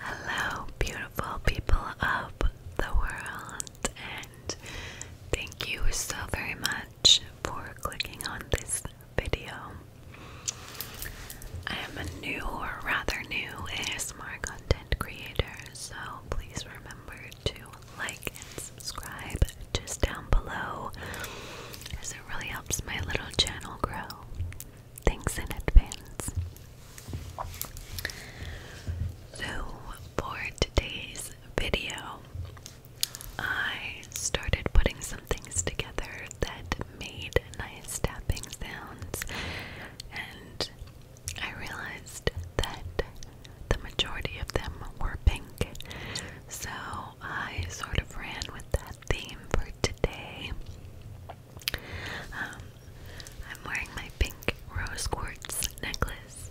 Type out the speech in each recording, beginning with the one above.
Hello, beautiful people of the world, and thank you so very much for clicking on this video. I am a new or rather new ASMR content creator, so please remember to like and subscribe just down below as it really helps my little channel grow. Thanks in advance. So, for today's video, I started putting some things together that made nice tapping sounds, and I realized that the majority of them were pink, so I sort of ran with that theme for today. Um, I'm wearing my pink rose quartz necklace.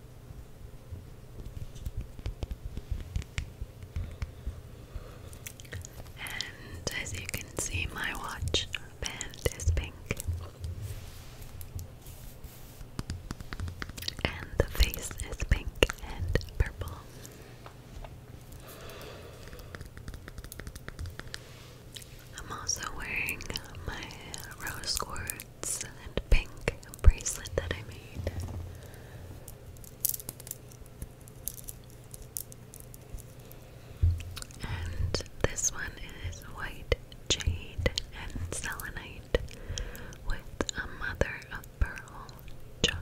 And as you can see, my watch band is pink, and the face is pink and purple. I'm also wearing my rose quartz and pink bracelet that I made. And this one is white jade and selenite with a mother of pearl charm.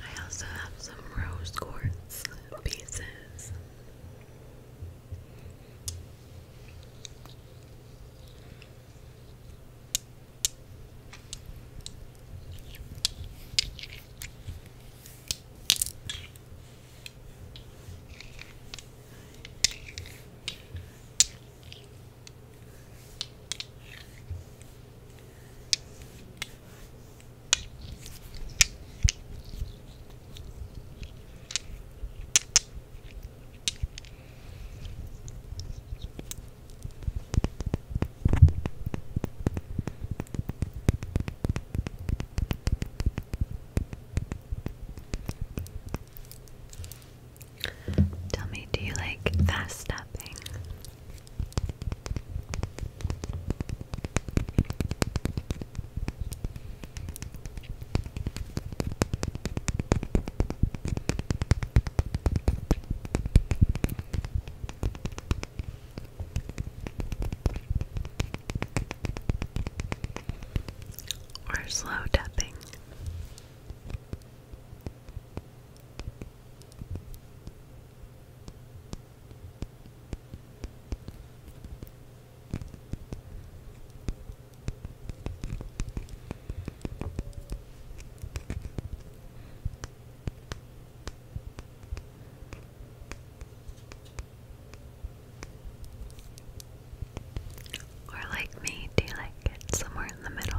I also have some rose quartz pieces. Tell me, do you like fast tapping? Or slow tapping. Or like me, do you like it somewhere in the middle?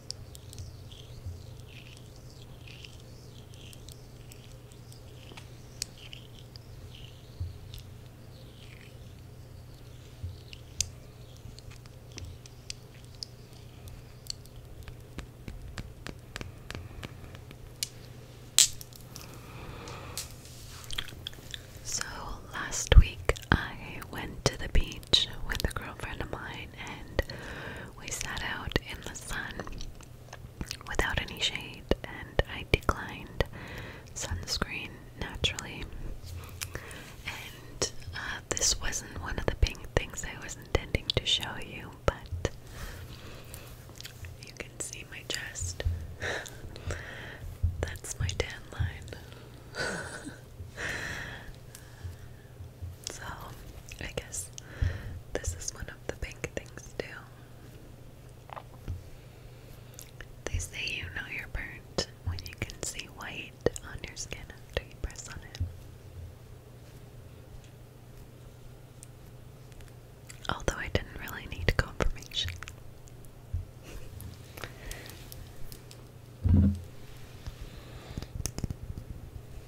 So last week I went to the beach with a girlfriend of mine and we sat out in the sun without any shade and I declined sunscreen naturally. And uh, this wasn't one of the pink things I was intending to show you, but you can see my chest. That's my tan line. So, I guess this is one of the pink things too. They say you know you're burnt when you can see white on your skin after you press on it. Although I didn't really need confirmation.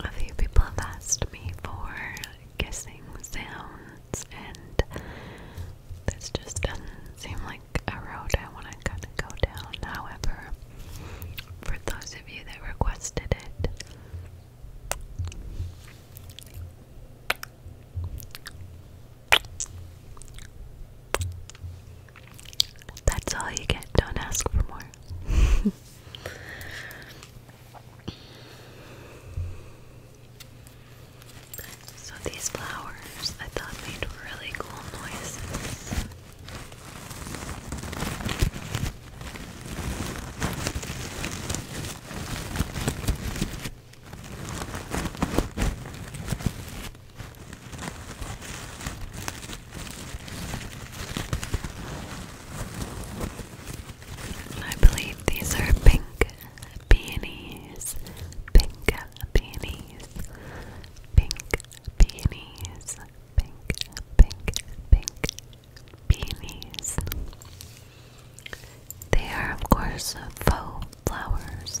A few people have asked me for kissing sounds, and this just doesn't seem like a road I want to kind of go down. However, for those of you that requested it, that's all you get. Don't ask for more. So these flowers I thought made really cool noises. I believe these are pink peonies. Pink peonies. Pink peonies. Pink, pink, pink peonies. They are, of course, faux flowers.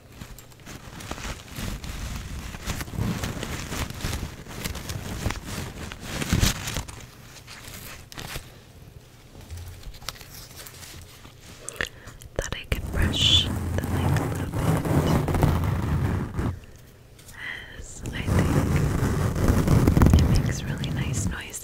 Thought I could brush the light as I think it makes really nice noises.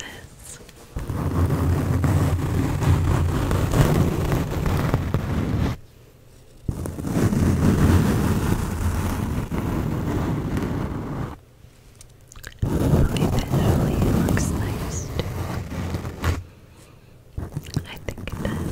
Eventually it looks nice too. I think it does.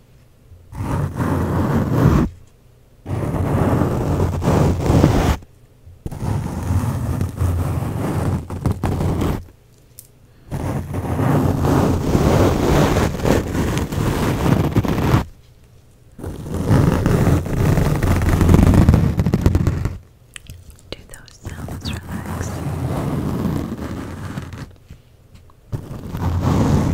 Do those sounds relax? The sound of clicks while we brush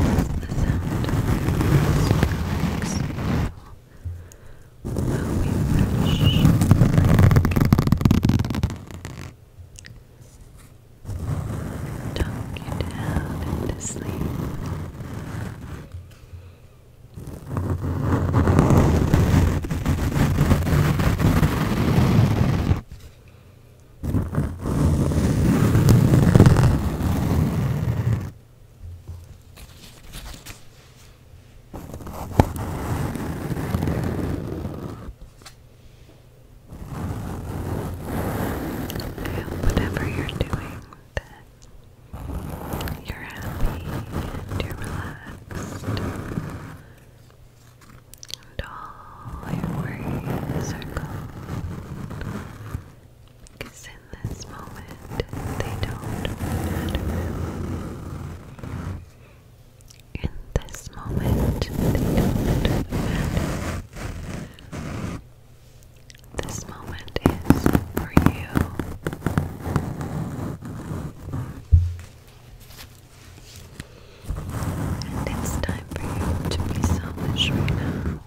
Tuck you down into sleep whatever you're doing, that you're happy and you're relaxed and all your worries are gone. in this moment, they don't matter. In this moment, they don't matter. This moment is for you it's time for you to be selfish right now.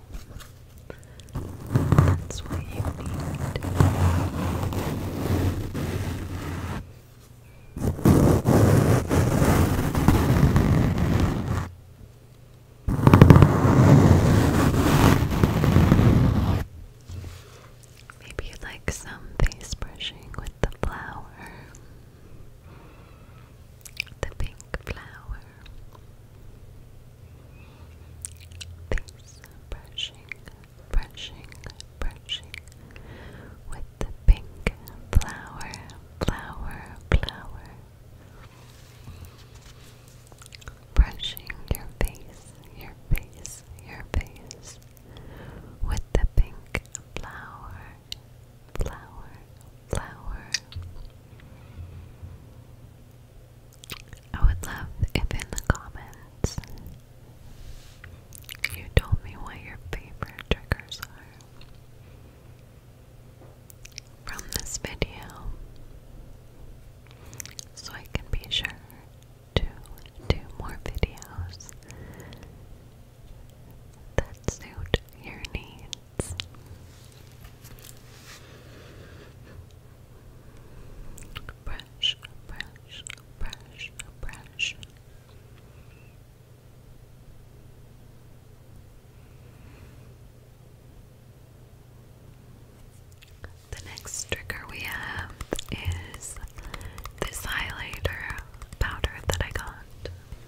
That's what you need. Maybe you'd like some face brushing with the flower the pink flower. This brushing, brushing, brushing with the pink flower, flower, flower. Brushing your face, your face, your face with the pink flower, flower, flower. I would love if in the comments you told me what your favorite triggers are from this video so I can be sure to do more videos that suit your needs. Brush, brush, brush, brush. The next trigger we have is this highlighter powder that I got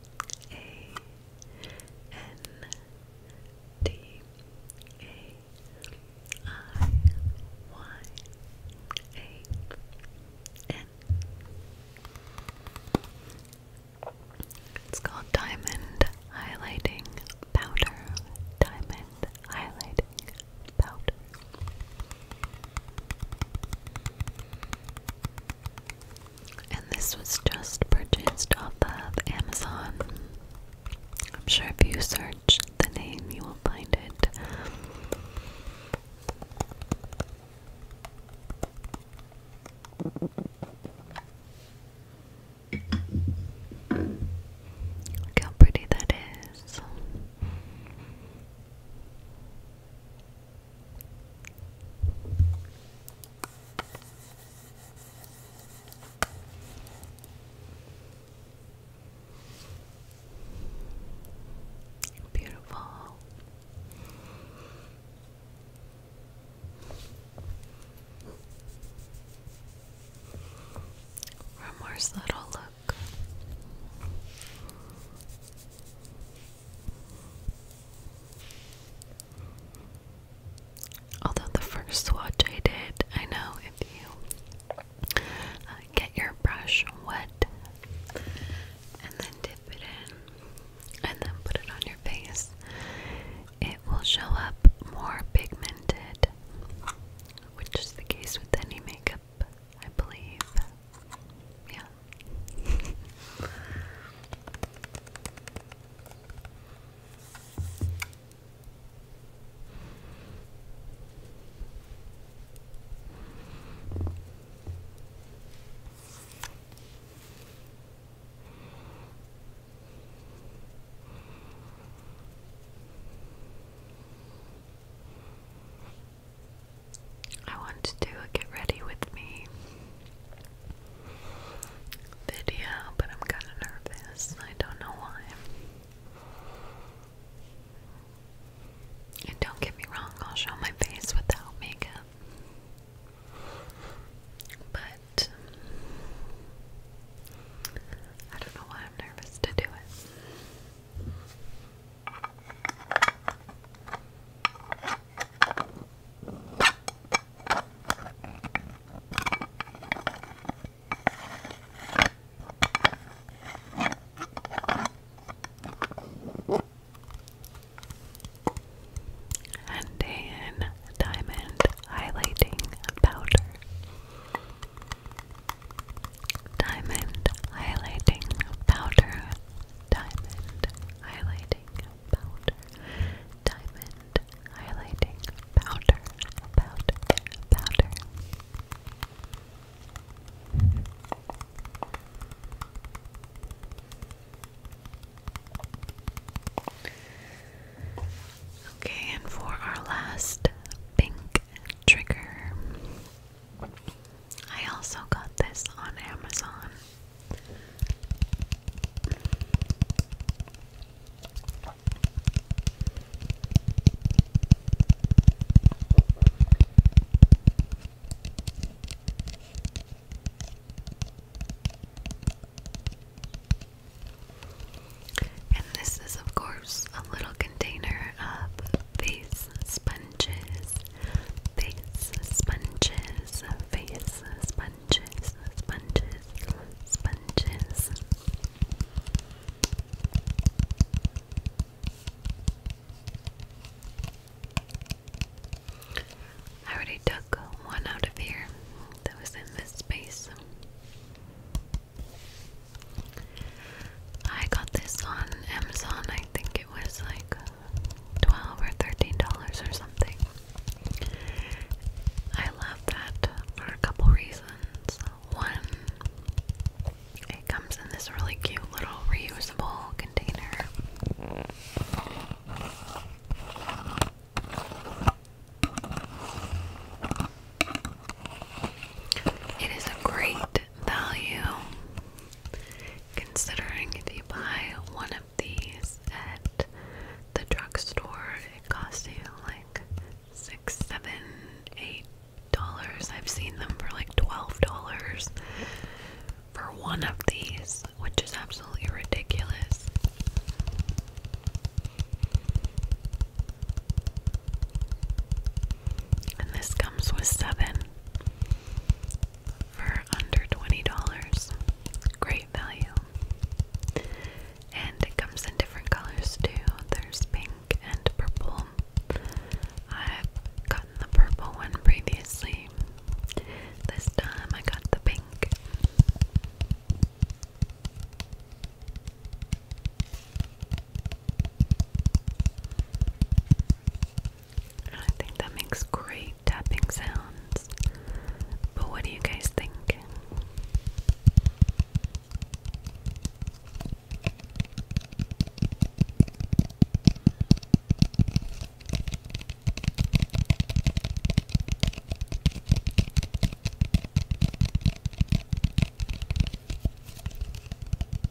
a N D A I Y A N. It's called Diamond Highlighting Powder. Diamond Highlighting Powder. And this was just purchased off of Amazon. I'm sure if you search the name, you will find it. Look how pretty that is. Beautiful. One more subtle look. Although the first swatch I did, I know if you uh, get your brush wet and then dip it in and then put it on your face, it will show up more pigmented, which is the case with any makeup I believe. Yeah. I want to do a get ready with me video, but I'm kind of nervous. I don't know why. And don't get me wrong, I'll show my face without makeup. But I don't know why I'm nervous to do it and Dan Diamond Highlighting Powder. Diamond Highlighting Powder diamond highlighting powder, diamond highlighting powder, powder, powder. Okay, and for our last pink trigger, I also got this on Amazon. And this is, of course, a little container of face sponges, face sponges, face sponges, sponges, sponges. I already took one out of here that was in this space. I got this on Amazon, I think it was like twelve or thirteen dollars or something. I love that for a couple reasons. One, it comes in this really cute little reusable container. It is a great value Considering if you buy one of these at the drugstore, it costs you like six, seven, eight dollars. I've seen them for like twelve dollars for one of these, which is absolutely ridiculous. And this comes with seven for under $20. Great value. And it comes in different colors too. There's pink and purple. I've gotten the purple one previously. This time I got the pink. I think that makes great tapping sounds. But what do you guys think?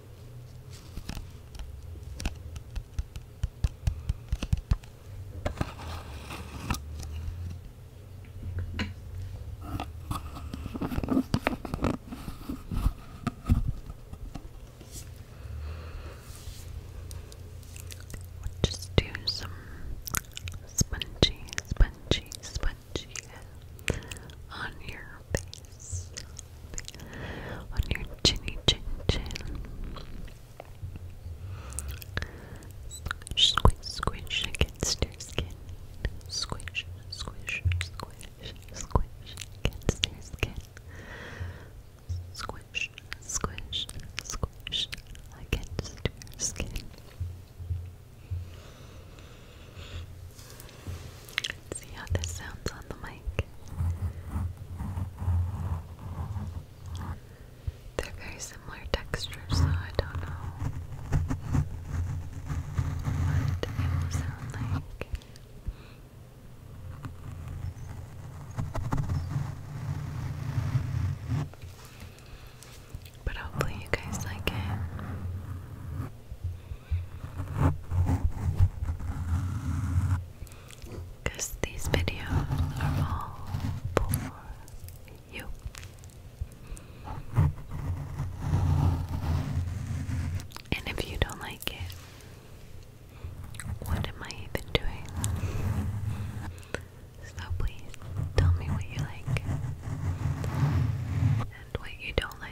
We'll just do some spongy, spongy, spongy on your face. Sobbing on your chinny chin chin. Squish, squish, squish against your skin. Squish, squish, squish, squish against your skin. Squish, squish, squish against your skin see how this sounds on the mic. They're very similar textures, so I don't know what it will sound like. But hopefully, you guys like it. Because these videos are all for you. And if you don't like it, what am I even doing? So please tell me what you like and what you don't like.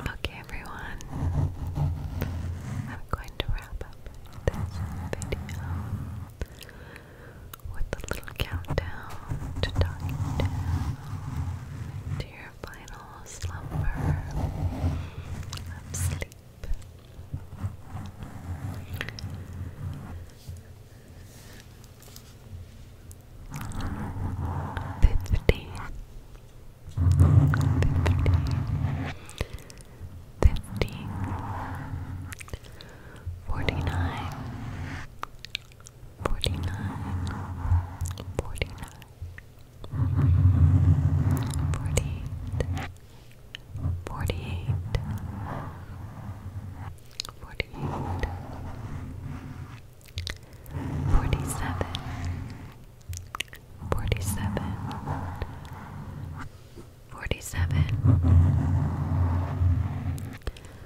Okay, everyone, I'm going to wrap up this video with a little little countdown to your final slumber of sleep. Fifty. Fifty. Fifty. Forty-nine. Forty-nine, forty-nine, forty-eight, forty-eight, forty-eight, forty-seven, forty-seven, forty-seven,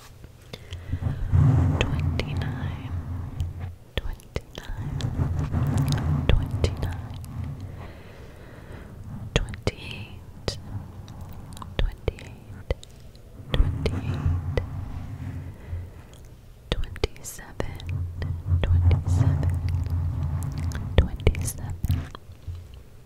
twenty nine, twenty nine, twenty nine, twenty eight, twenty eight, twenty eight, twenty seven, twenty seven, twenty seven.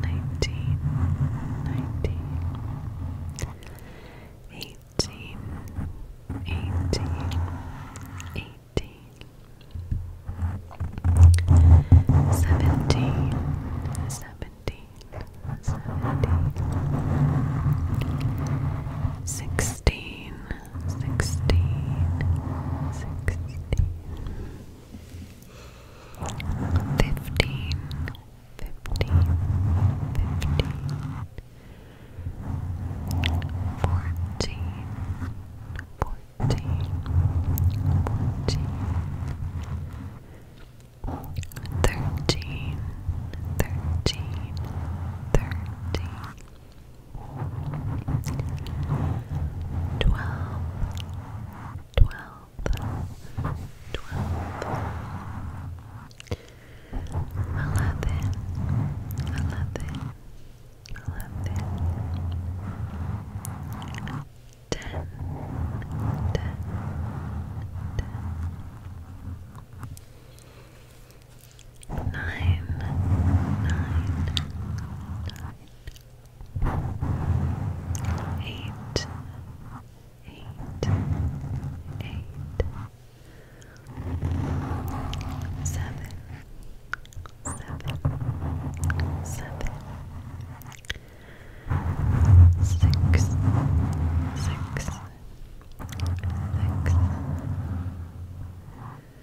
nineteen, nineteen, eighteen, eighteen, eighteen, seventeen, seventeen, seventeen, sixteen, sixteen, sixteen. 15 fifteen, fifteen, fifteen, fourteen, fourteen, fourteen, thirteen, thirteen, thirteen. 12 11 11 10 9 8 twelve, twelve, eleven, eleven, eleven, ten, ten, ten, nine, nine, nine eight, eight, eight, seven, seven,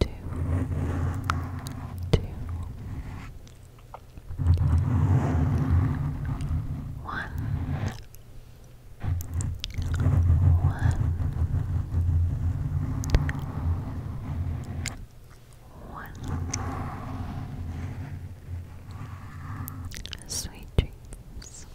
two, two, one, one, one. Sweet dreams.